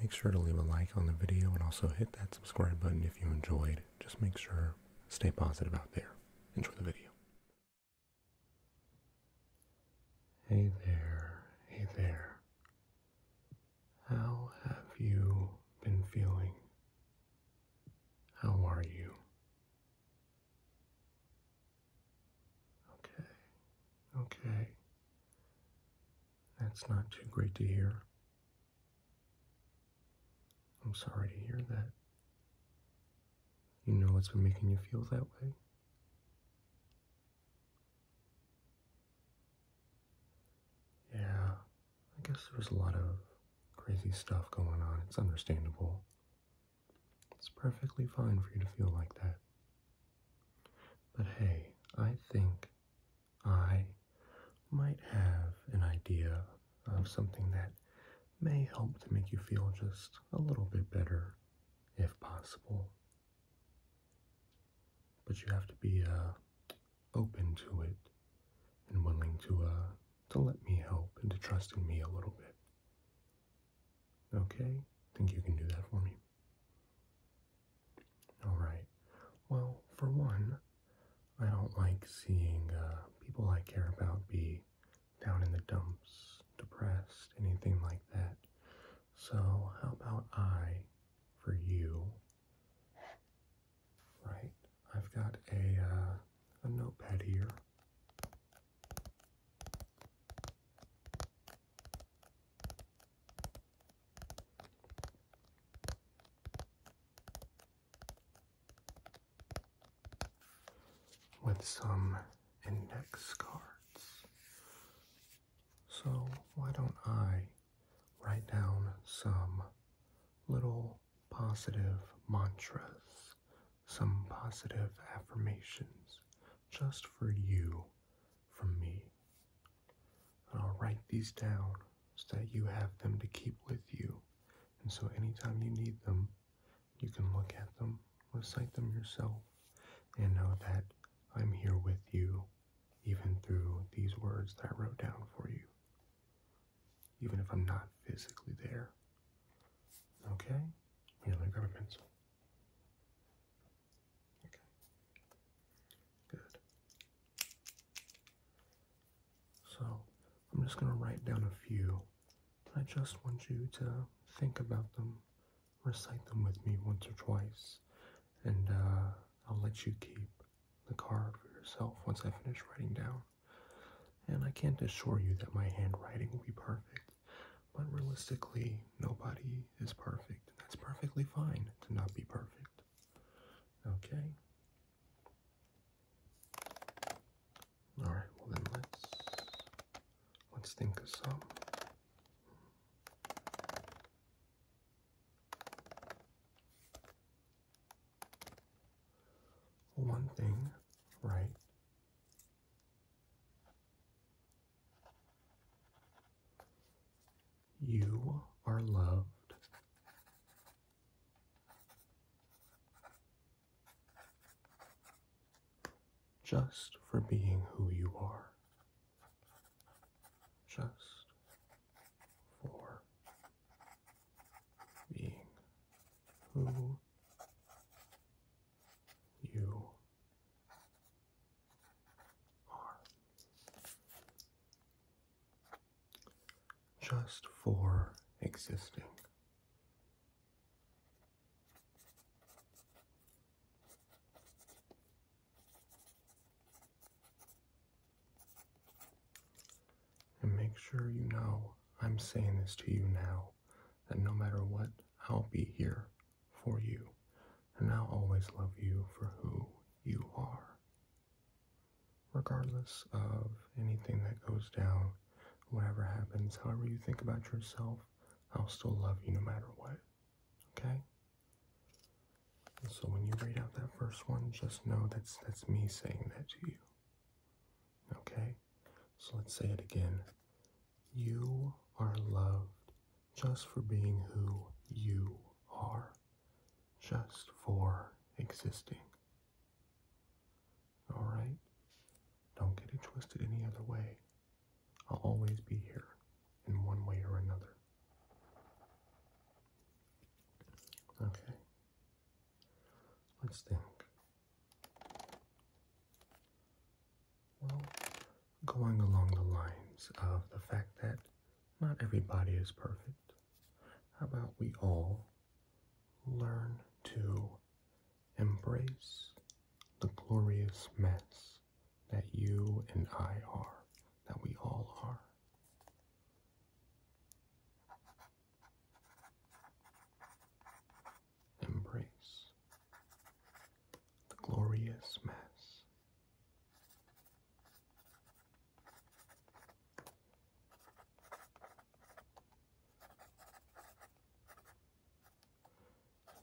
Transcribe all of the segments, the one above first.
Make sure to leave a like on the video and also hit that subscribe button if you enjoyed. Just make sure, stay positive out there. Enjoy the video. Hey there, hey there. How have you been feeling? How are you? Okay, okay. That's not too great to hear. I'm sorry to hear that. You know what's been making you feel that way? Yeah, I guess there's a lot of crazy stuff going on. It's understandable. It's perfectly fine for you to feel like that. But hey, I think I might have an idea of something that may help to make you feel just a little bit better, if possible. But you have to be uh, open to it and willing to uh, to let me help and to trust in me a little bit. Okay, think you can do that for me. All right. Well, for one, I don't like seeing uh, people I care about be down in the dumps, depressed, anything like that. So, how about I, for you, right? I've got a, uh, a notepad here with some index cards. So, why don't I write down some little positive mantras, some positive affirmations just for you from me. And I'll write these down so that you have them to keep with you. And so anytime you need them, you can look at them, recite them yourself, and know that I'm here with you, even through these words that I wrote down for you. Even if I'm not physically there. Okay? Here, let me grab a pencil. Okay. Good. So, I'm just going to write down a few. I just want you to think about them, recite them with me once or twice, and uh, I'll let you keep the card for yourself once I finish writing down. And I can't assure you that my handwriting will be perfect, but realistically, nobody is perfect, and that's perfectly fine to not be perfect. Okay? Alright, well then let's let's think of some. One thing, right? You are loved. Just for being who you are. Just for being who you just for existing. And make sure you know I'm saying this to you now that no matter what, I'll be here for you, and I'll always love you for who you are. Regardless of anything that goes down, whatever happens, however you think about yourself, I'll still love you no matter what. Okay? so when you read out that first one, just know that's that's me saying that to you. Okay? So let's say it again. You are loved just for being who you are, just for existing. Alright? Don't get it twisted any other way. I'll always be here in one way or another. Okay. Let's think. Well, going along the lines of the fact that not everybody is perfect, how about we all learn to embrace the glorious mess that you and I are, that we all are? embrace the glorious mess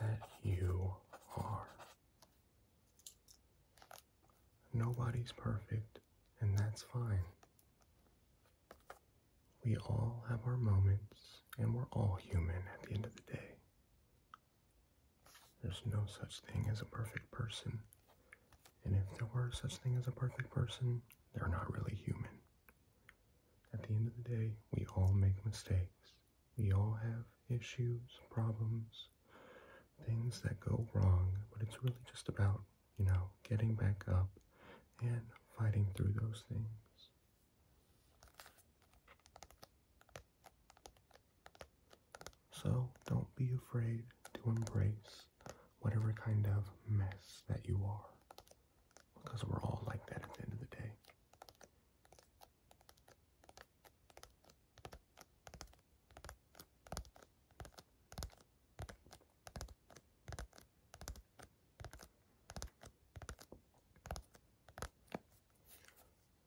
That you are. Nobody's perfect, and that's fine. We all have our moments, and we're all human at the end of the day. There's no such thing as a perfect person. And if there were such thing as a perfect person, they're not really human. At the end of the day, we all make mistakes. We all have issues, problems, things that go wrong, but it's really just about, you know, getting back up and fighting through those things. So don't be afraid to embrace whatever kind of mess that you are, because we're all like that at the end of the day.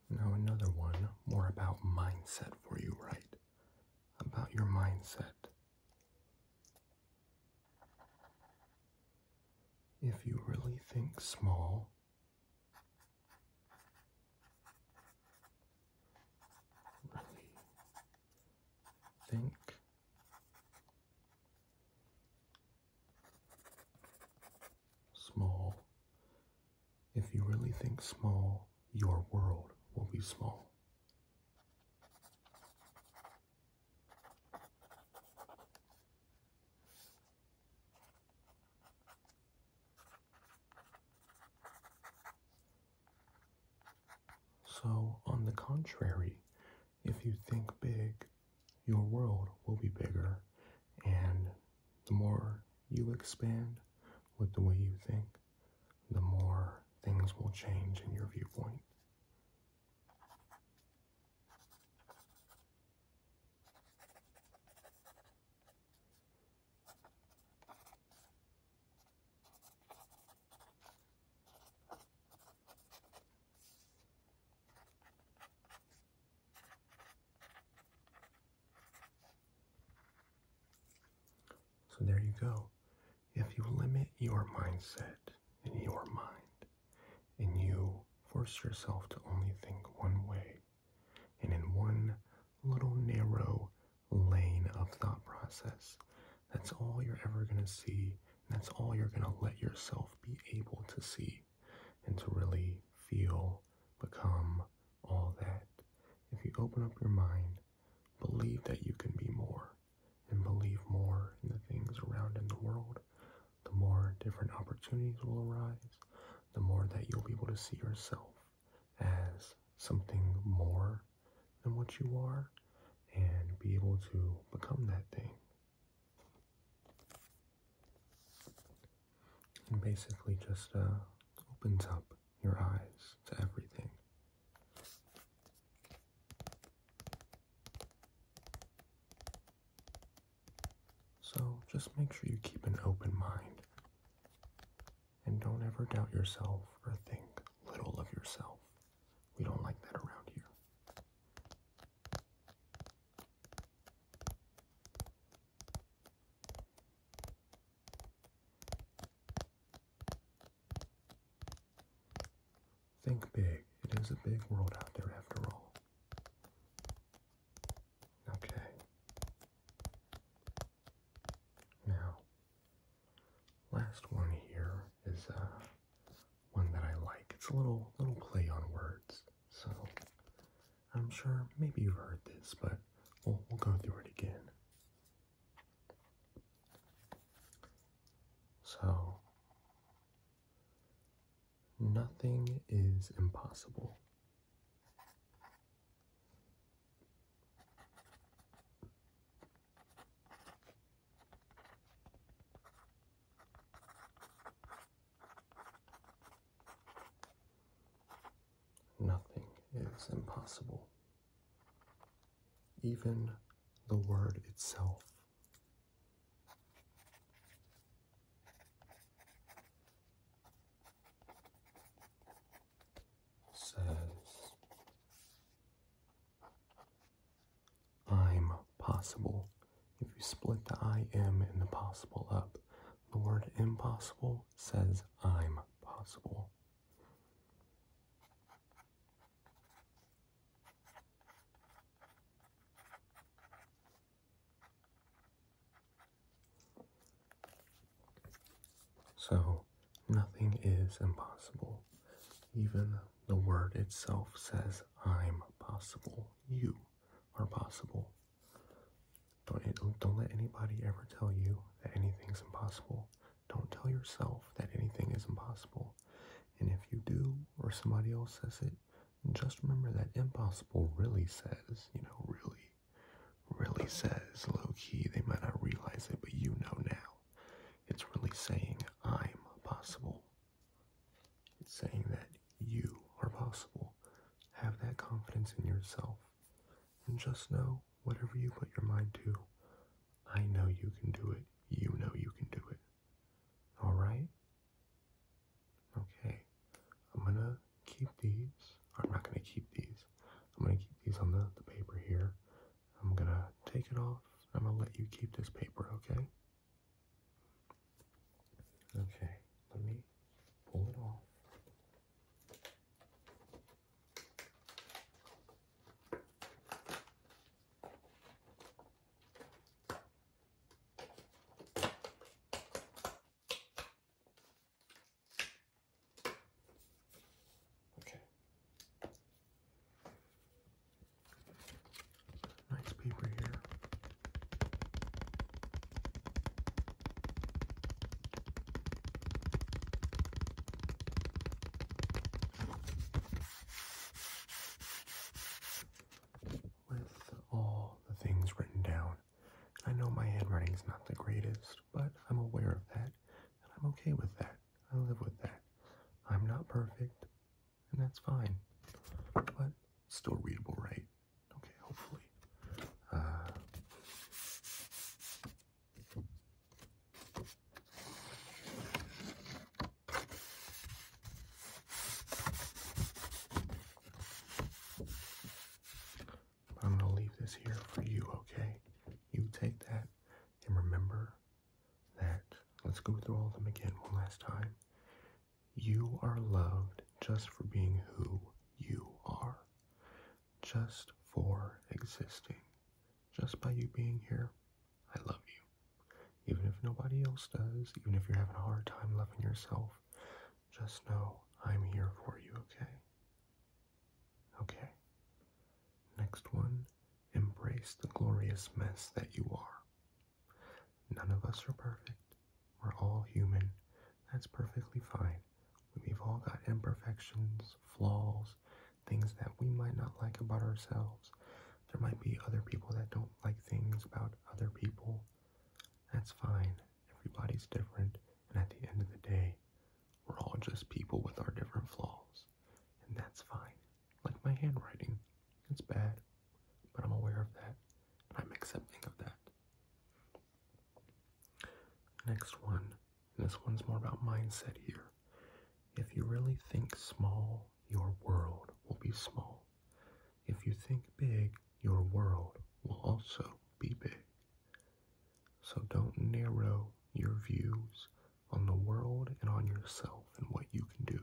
Now, another one more about mindset for you, right? About your mindset. If you really think small, really think small. If you really think small, your world will be small. So, on the contrary, if you think big, your world will be bigger. And the more you expand with the way you think, the more things will change in your viewpoint. So there you go. If you limit your mindset in your mind and you force yourself to only think one way and in one little narrow lane of thought process, that's all you're ever going to see. that's all you're going to let yourself be able to see and to really feel, become all that. If you open up your mind, believe that you can be more and believe more in the things around in the world, the more different opportunities will arise, the more that you'll be able to see yourself as something more than what you are and be able to become that thing and basically just uh, opens up your eyes to everything. So just make sure you keep an open mind and don't ever doubt yourself or think little of yourself. We don't like that around here. Think big. It is a big world out there after all. Okay. Now, last one here is uh one that I like. It's a little little play on words. So I'm sure maybe you've heard this, but we'll we'll go through it again. So nothing is impossible. Nothing is impossible. Even the word itself. says I'm possible. If you split the I am and the possible up, the word impossible says I'm possible. So, nothing is impossible. Even the word itself says I'm possible. You are possible. Don't, don't let anybody ever tell you that anything's impossible. Don't tell yourself that anything is impossible. And if you do, or somebody else says it, just remember that impossible really says, you know, really, really says low key. They might not realize it, but you know now. It's really saying, I'm possible. It's saying that you are possible. Have that confidence in yourself. And just know whatever you put your mind to, I know you can do it. You know you can do it. Alright? Okay. I'm gonna keep these. I'm not gonna keep these. I'm gonna keep these on the, the paper here. I'm gonna take it off. I'm gonna let you keep this paper, okay? Okay, let me pull it off. Nice paper here. With all the things written down, I know my handwriting is not the greatest, but I'm aware of that, and I'm okay with that. I live with that. I'm not perfect, and that's fine. But still readable, right? Okay, hopefully. Uh, I'm going to leave this here for you, okay? You take that and remember that, let's go through all of them again one last time. You are loved just for being who you are, just for existing. Just by you being here, I love you. Even if nobody else does, even if you're having a hard time loving yourself, just know I'm here for you, okay? Okay. Next one, embrace the glorious mess that you are. None of us are perfect. We're all human. That's perfectly fine. We've all got imperfections, flaws, things that we might not like about ourselves. There might be other people that don't like things about other people. That's fine. Everybody's different. And at the end of the day, we're all just people with our different flaws and that's fine. Like my handwriting, it's bad, but I'm aware of that, and I'm accepting of that. Next one, this one's more about mindset here. If you really think small, your world will be small. If you think big, your world will also be big. So don't narrow your views on the world and on yourself and what you can do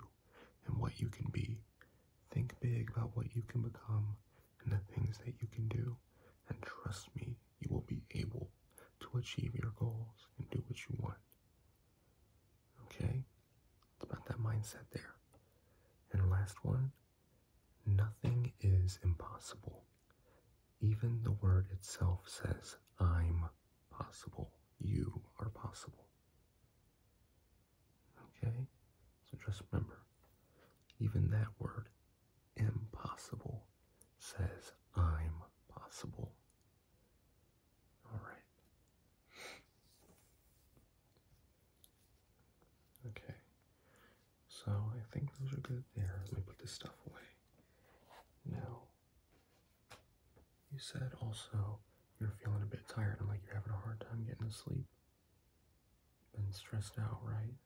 and what you can be. Think big about what you can become and the things that you can do. And trust me, you will be able to achieve your goals and do what you want. Okay? It's about that mindset there. And last one nothing is impossible. Even the word itself says, I'm possible. You are possible. Okay? So just remember, even that word, impossible, says I'm possible. All right. Okay. So I think those are good there. Let me put this stuff away. Now, you said also you're feeling a bit tired and like you're having a hard time getting to sleep. Been stressed out, right?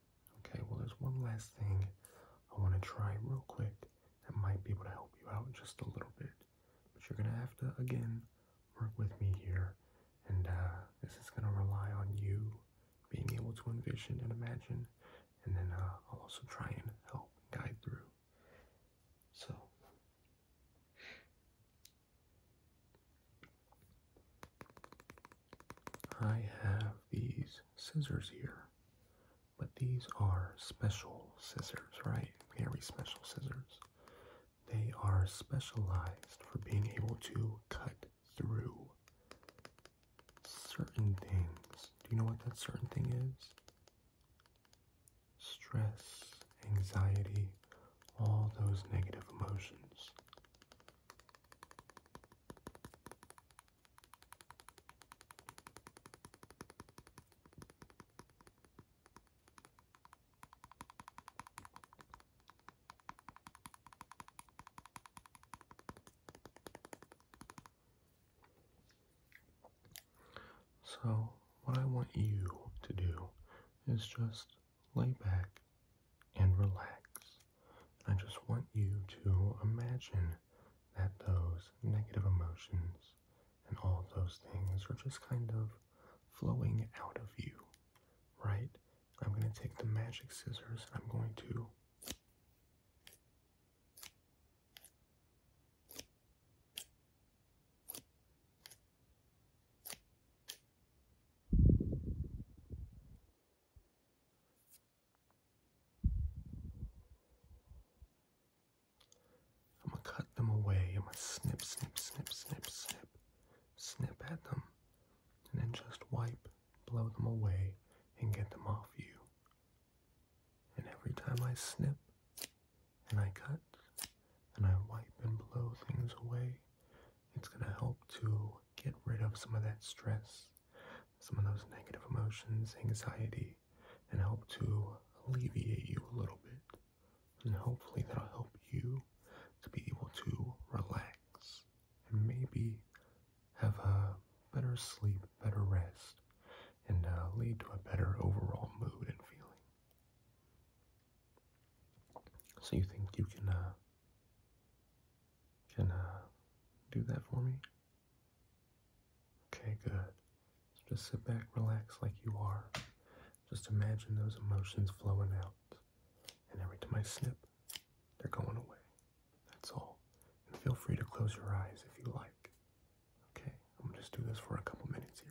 Okay, well, there's one last thing I want to try real quick that might be able to help you out just a little bit. But you're going to have to, again, work with me here. And uh, this is going to rely on you being able to envision and imagine. And then uh, I'll also try and help guide through. So I have these scissors here, but these are special scissors, right? Very special scissors. They are specialized for being able to cut through certain things. Do you know what that certain thing is? stress, anxiety, all those negative emotions. So, what I want you to do is just lay back and relax. I just want you to imagine that those negative emotions and all those things are just kind of flowing out of you, right? I'm going to take the magic scissors I'm going to I'm gonna cut them away. I'm gonna snip, snip, snip, snip, snip, snip at them, and then just wipe, blow them away, and get them off you. And every time I snip and I cut and I wipe and blow things away, it's going to help to get rid of some of that stress, some of those negative emotions, anxiety, and help to alleviate you a little bit. And hopefully that'll help you to be able to relax and maybe have a better sleep, better rest, and uh, lead to a better overall mood and feeling. So you think you can uh, can uh, do that for me? Okay, good. just sit back, relax like you are. Just imagine those emotions flowing out, and every time I snip, they're going away. That's all. feel free to close your eyes if you like. Okay, I'm gonna just do this for a couple minutes here.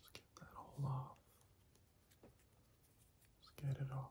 Just get that all off. Just get it off.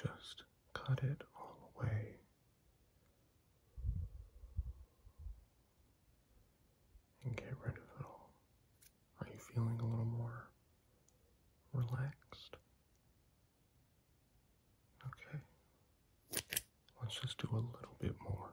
Just cut it all away and get rid of it all. Are you feeling a little more relaxed? Okay. Let's just do a little bit more.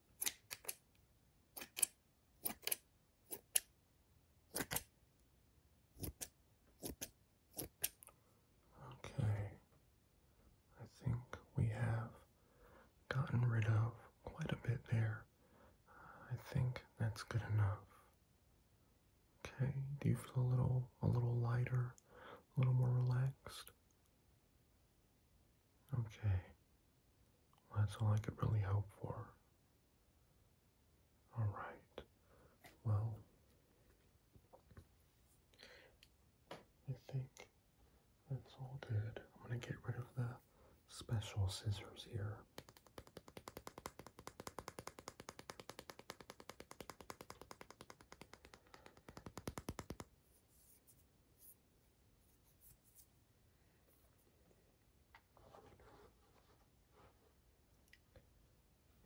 Okay, I think we have gotten rid of quite a bit there. I think that's good enough. Okay, do you feel a little a little lighter, a little more relaxed? Okay. that's all I could really hope for. All right. Well, I think that's all good. I'm going to get rid of the special scissors here.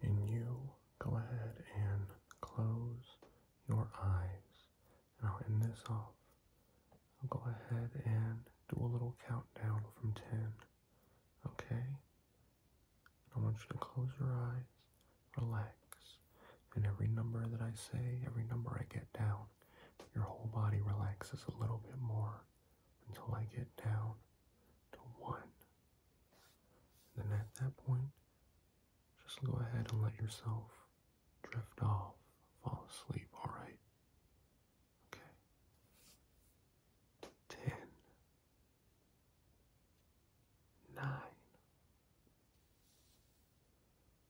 And you go ahead and close your eyes. And I'll end this off. I'll go ahead and do a little countdown from 10. Okay? I want you to close your eyes, relax, and every number that I say, every number I get down, your whole body relaxes a little bit more until I get down to one. then at that point, just go ahead and let yourself drift off, fall asleep, alright? Okay. Ten. Nine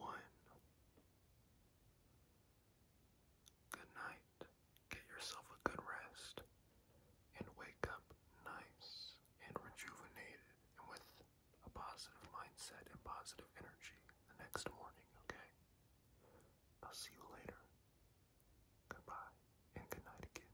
One. Good night. Get yourself a good rest and wake up nice and rejuvenated and with a positive mindset and positive energy the next morning, okay? I'll see you later. Goodbye and good again.